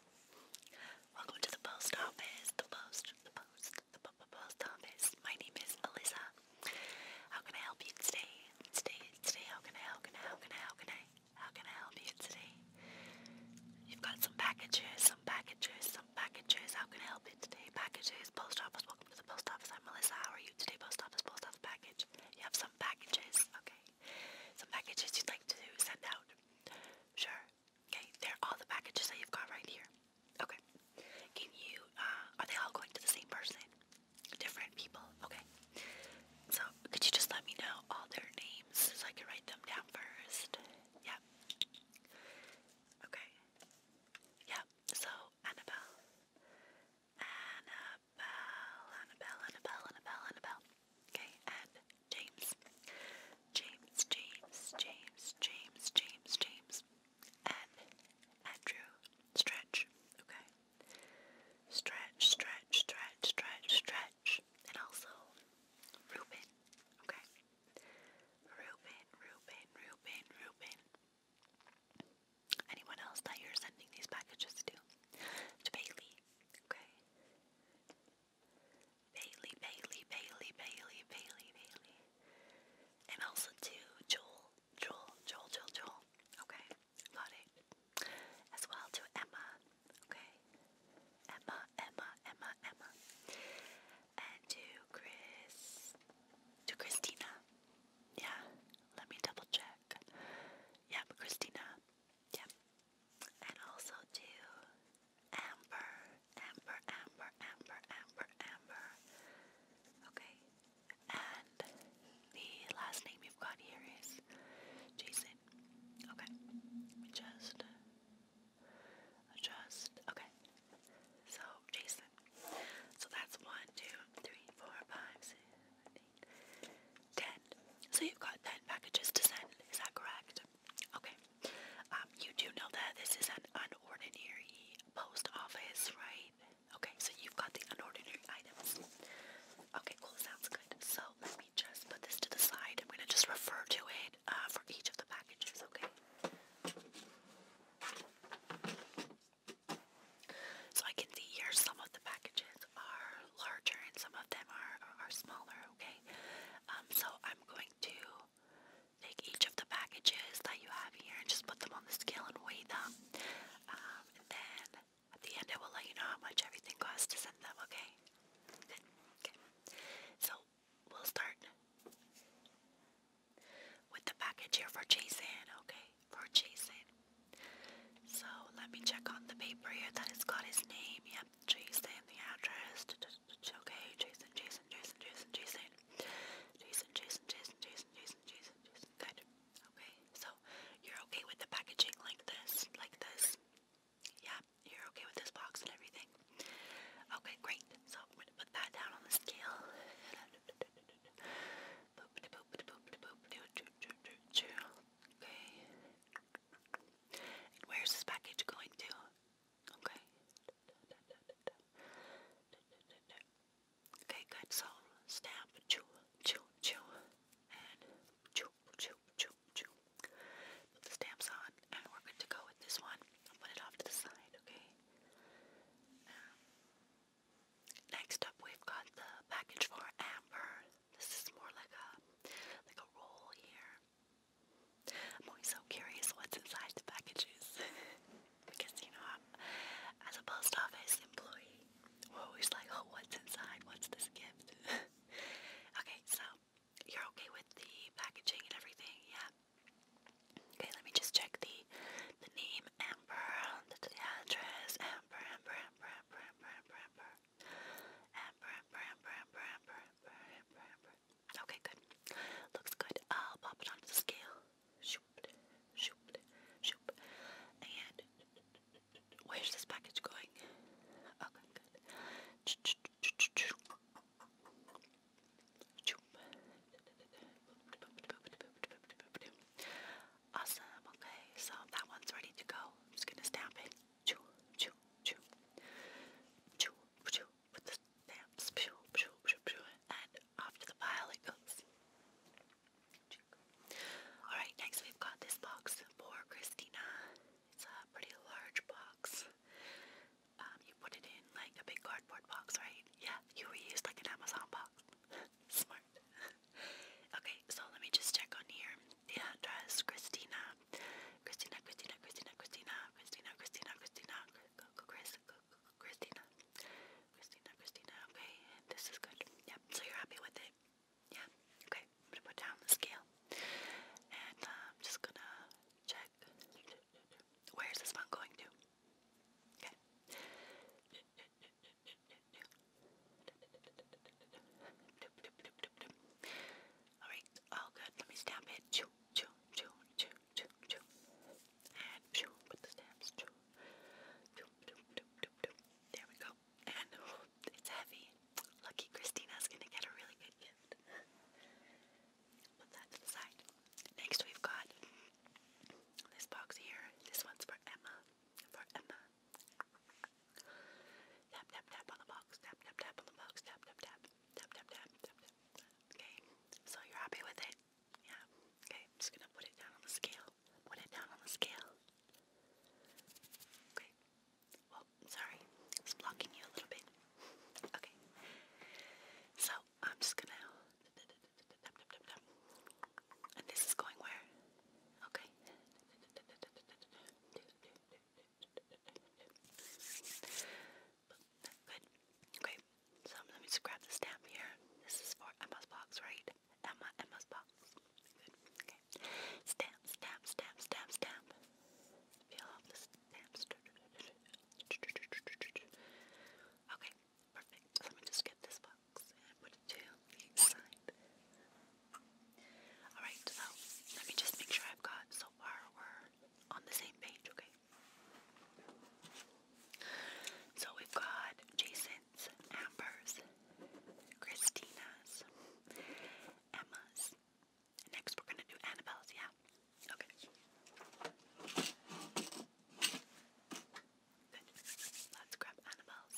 Welcome to the post office. The post, the post, the post office. My name is Alyssa. How can I help you today? Today, today. How can I? How How can I? How can I? How can I help you today? You've got some packages, some packages, some packages. How can I help you today? Packages, post office. Welcome to the post office. I'm Melissa. How are you today? Post office, post office package. You have some packages, okay? Some packages you'd like to send out. Sure. Okay, they're all the packages that you've got right here. Okay. Can you, uh, are they all going to the same person? Different people? Okay. So, could you just let me know all their names so I can write them down first? Yep. Okay. Yep. So, Annabelle. Annabelle, Annabelle, Annabelle, Annabelle, Annabelle. Okay, and James. James, James, James, James, James, James. And Andrew. Stretch. Okay. Stretch, stretch, stretch, stretch, stretch. And also Reuben. Okay. Reuben, Reuben, Reuben, Reuben. Anyone else that you're sending these packages to? To Bailey. Okay. Bailey, Bailey, Bailey, Bailey, Bailey, Bailey. And also to Joel, Joel, Joel, Joel, Joel. Okay, got it. As well to Emma. Okay. Emma, Emma, Emma, Emma. And to Chris. To Christina. Yeah, let me double check. Yep, Christina. Yep. And also to Amber, Amber, Amber, Amber, Amber, Amber. Okay. And the last name you've got here is Jason. Okay. Just, just, okay. So, Jason. So that's one, two, three, four, five, six, seven, eight, ten. So you've got ten packages to send. Is that correct? Okay. Um, you do know that this is an unordinary post office, right? Okay, so you've got the unordinary items. Okay, cool. Sounds good. So let me just put this to the side. I'm going to just refer to it uh, for each of the packages, okay? So I can see here some of the packages are larger and some of them are, are, smaller, okay? Um, so I'm going to take each of the packages that you have here and just put them on the scale and weigh them. Um, and then at the end I will let you know how much everything costs to send them, okay? Good. Okay. So we'll start with the package here for Jason, okay? For Jason. So let me check on the paper here that has got his name. Yeah, Yep, Jason, the actress. Okay, Jason, Jason, Jason, Jason, Jason. Jason, Jason, Jason, Jason, Jason, Jason, Jason. Good. Okay, so you're okay with the packaging like this, like this. Yeah, you're okay with this box and everything. Okay, great. So I'm gonna put that down on the scale. Okay where's this package going to? Okay. Okay, good. So stamp, chew, chew, chew, and chew, chew, chew, chew. Put the stamps on, and we're good to go with this one. put it off to the side, okay? Um, next up, we've got the package for Amber. This is more like a like a roll here. I'm always so curious what's inside the packages because you know, I'm, as a post office employee, we're always like, oh, what's inside? What's this gift? okay, so you're okay with the packaging and everything, yeah. Okay, let me just check the the name Amber, the, the address Amber, Amber, Amber, Amber, Amber, Amber. Okay, good. Looks good. I'll pop it onto the scale. Shoop, shoop, shoop. And where's this package going? Okay, good. Awesome. Okay, so that one's ready to go. just gonna stamp it choo, choo, choo, choo, choo, with the stamps, choo, choo, choo, choo, and off the pile goes. Alright, next we've got this box for Christina. It's a pretty large box. Um, you put it in like a big cardboard box, right? Yeah, you reused like an Amazon box. Smart. okay, so let me just check on here. Beatrice, Christina, Christina, Christina, Christina, Christina, Christina, Christina, Christina, Chris, Christina, Christina, Christina. Okay, this is good. Yep. So you're happy with it? Yeah. Okay. I'm gonna put down the scale, and I'm um, just gonna check. Where is this one going to? Okay. All right, all good. Let me stamp it. Choo, choo, choo, choo, choo, choo. And choo with the stamps. Choo. Choo, choo, choo, choo, There we go. And it's heavy. Lucky Christina's gonna get a really good gift. Put that to the side. Next, we've got this box here. This one's for Emma. For Emma. Tap, tap, tap on the box. Tap, tap, tap on the box. Tap, tap, tap. Tap, tap, tap. Tap, tap. Okay. So you're happy with it? Yeah. Okay. I'm just going to put it down on the scale. Put it down on the scale. Okay. Well, sorry. It's blocking you a little bit. Okay. So I'm just going to. And this is going where? Okay. But, good. Okay. So let me just grab the stamp here. This is for Emma's box, right? Emma, Emma's box. Good. Okay. Stamp, stamp, stamp, stamp, stamp. Peel off the stamps. Okay. Perfect. Let me just get this box and put it to the side. Alright, so let me just make sure I've got so far we're on the same page, okay? So we've got Jason's, Amber's, Christina's, Emma's. Next we're gonna do Annabelle's, yeah? Okay. Let's grab Annabelle's.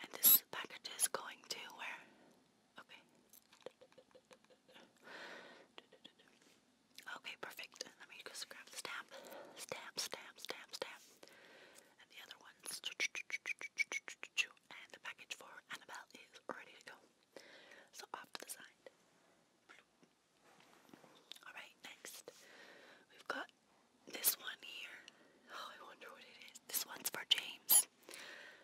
And this package is going to where? Okay. Okay, perfect. Let me just grab the stamp. Stamp, stamp, stamp, stamp. And the other ones. And the package for Annabelle is ready to go. So off to the side. Alright, next we've got this one here. Oh, I wonder what it is. This one's for James.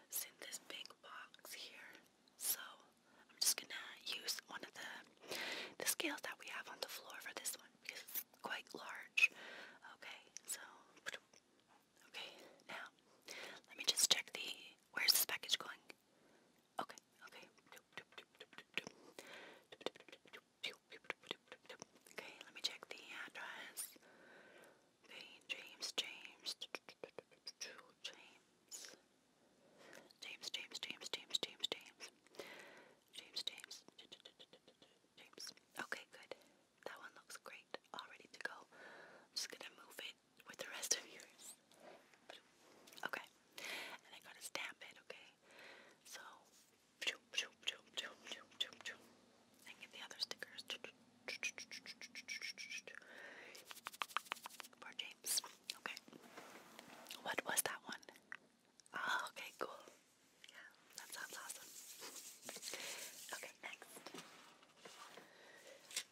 It's in this big box here. So I'm just gonna use one of the the scales that we have on the floor for this one because it's quite large. Okay, so okay, now let me just check the where's this package going? Okay, okay. Okay, let me check the address. James, James, James, James, James, James. James, James, James. Okay, good. That one looks great. All ready to go. I'm just gonna move it with the rest of yours. Okay and I gotta stamp it, okay? So, and get the other stickers for James. Okay, what was that one? Oh, okay, cool. Yeah, that sounds awesome. okay, next.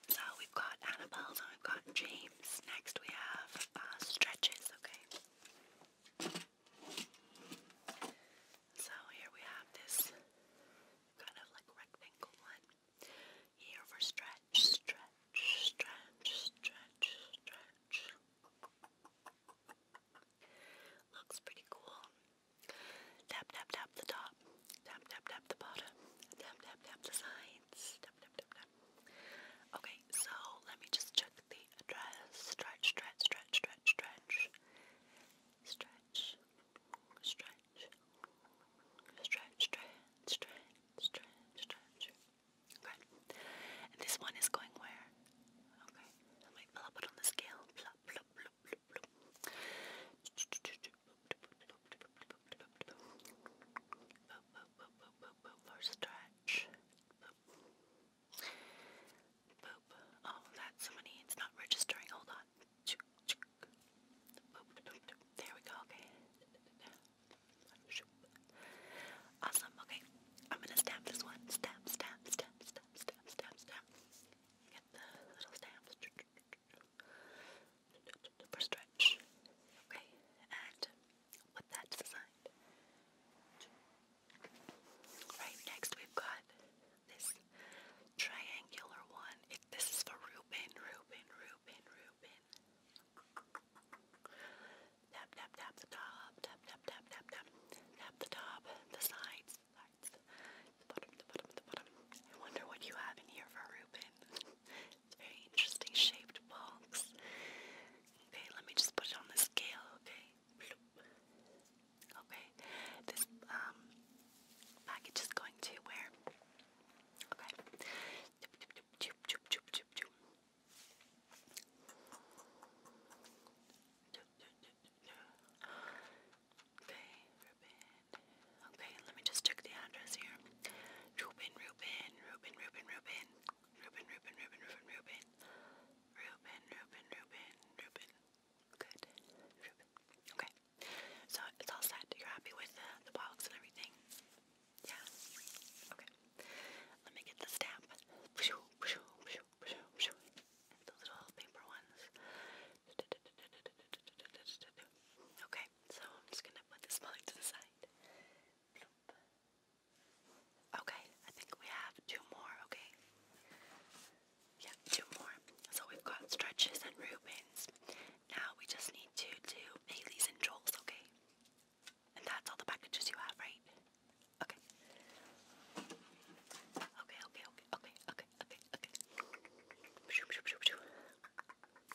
So we've got Annabelle, we've got James. Next we have uh, stretches, okay? So here we have this kind of like rectangle one. Here for stretch, stretch, stretch, stretch, stretch. Looks pretty cool. Tap, tap, tap the top. Tap, tap, tap the bottom. Tap, tap, tap the sides. tap, tap, tap. Okay, so let me just check the address. Stretch, stretch, stretch, stretch, stretch. Stretch, stretch, stretch, stretch, stretch, stretch, stretch. Okay. And this one is going where? Okay. Let me plop it on the scale. Plop, plop, plop, plop, plop. First stretch. Oh, that's so many. It's not registering. Hold on. There we go. Okay. Awesome. Okay. I'm gonna stamp this one. Stamp, stamp, stamp, stamp, stamp, stamp, stamp. Get the little stamps for stretch. Okay. And Put that to the side. Right next, we've got this triangular one. It, this is for Reuben, Reuben, Reuben, Reuben. Tap, tap, tap the top. Tap, tap, tap, tap, tap. Tap the top, the sides, the sides, the bottom, the bottom, the bottom. I wonder what you have in here for Reuben very interesting shaped box. Okay, let me just put it on the scale, okay? Okay, this um, package is going to where? Okay. Okay, Okay, let me just check the address here. Ruben, Ruben, Ruben, Ruben, Ruben. Ruben, Ruben, Ruben, Ruben, Ruben. Ruben, Ruben, Ruben, Ruben. Good. Okay. So it's all set. You're happy with the, box and everything? Yeah. Okay. Let me get the stamp. The little paper ones. Okay, so I'm just gonna put this mug to the side. Okay, I think we have two more, okay? Yeah, two more. So we've got stretches and Rubens. Now we just need to do Bailey's and Joel's, okay? And that's all the packages you have, right? Okay, okay, okay, okay, okay, okay, okay.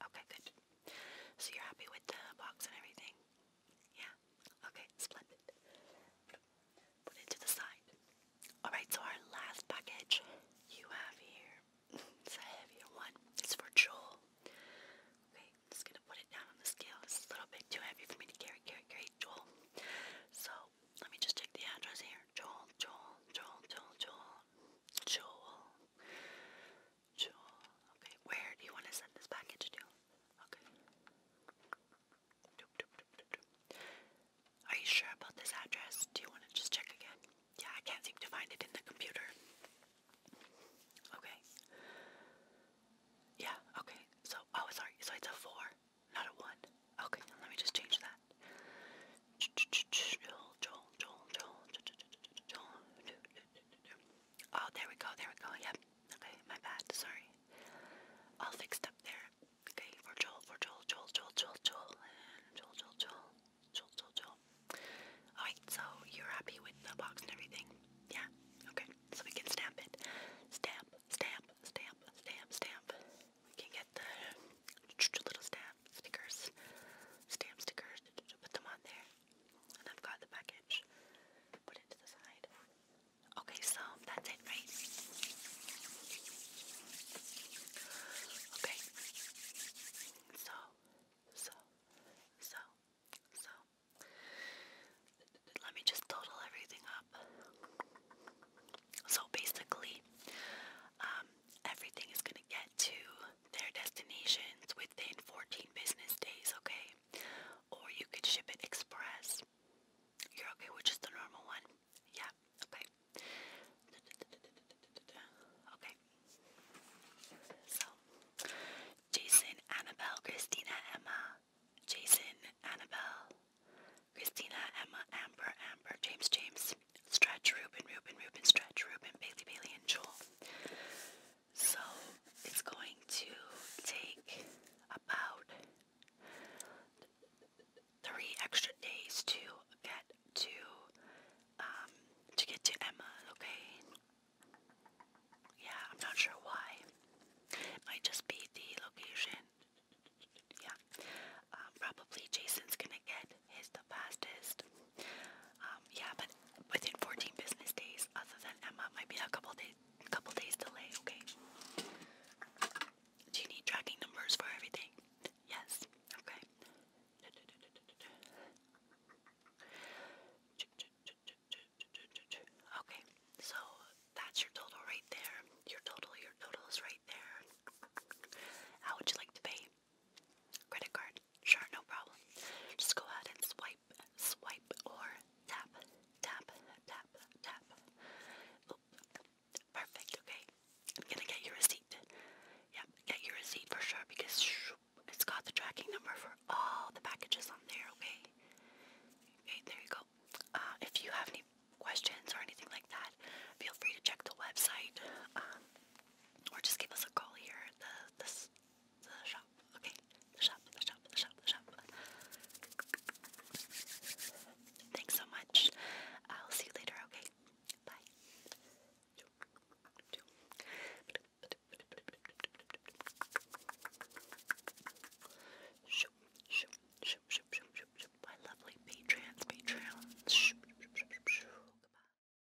Okay, good. So you're happy with the box and everything? Yeah? Okay, splendid. Put it to the side. Alright, so our last package you have here. It's a heavier one. It's for Joel. Okay, just gonna put it down on the scale. It's a little bit too heavy for me to carry, carry, carry, Joel. So, let me just check the address here. Joel, Joel, Joel, Joel, Joel, Joel. Jewel. Okay, where do you want to send this package to? Okay. Are you sure about this address? Do you want to just check again? Yeah, I can't seem to find it in the computer. Okay. Yeah, okay. So, oh, sorry. So it's a four, not a one. Okay, let me just change that. Joel, Joel, Joel, Joel, Joel, Joel, Joel, Oh, there we go, there we go, yep. Okay, my bad, sorry. All fixed up there. Okay, for Joel, for Joel, Joel, Joel, Joel, Joel, Joel, Joel, Joel, Joel, Joel, Joel. Alright, so you're happy with the box and everything? Yeah? Okay, so we can stamp it. Stamp, stamp, stamp, stamp, stamp. We can get the little stamp stickers. Stamp stickers, put them on there. And I've got the package. Put it to the side. Okay, so that's it, right? Okay. So, so, so, so. Let me just total everything up. So basically, um, everything is going to get to their destinations within 14 business days, okay? Or you could ship it express. You're okay with just the normal one? Yeah, okay. Okay. So, Jason, Annabelle, Christina, Emma. Jason, Annabelle, Christina, Emma, Amber, Amber, James, James, Stretch, Ruben, Ruben, Ruben, Stretch, Ruben, Bailey, Bailey, and Joel. So it's going to take about three extra days to get to um, to get to Emma. Okay. Yeah, I'm not sure why. It might just be the location. Yeah. Um, probably Jason's gonna get is the fastest. Um, yeah, but within 14 business days, other than Emma, might be a couple days, couple days delay. Okay. Do you need tracking numbers for everything? Yes. Okay. Okay. So that's your total right there. Your total, your total is right there. How would you like to pay? Credit card? Sure, no problem. Just go ahead and swipe, swipe, or tap, tap, tap, tap. Oop. Perfect, okay. I'm gonna get your receipt. Yep, get your receipt for sure because it's got the tracking number for all the packages on there, okay? Okay, there you go. Uh, if you have any questions or anything like that, feel free to check the website um, or just give us a call here at the, this the shop. Okay, the shop, the shop, the shop, the shop. Thanks so much. I'll see you later. Okay, bye. My lovely patrons, patrons. Goodbye.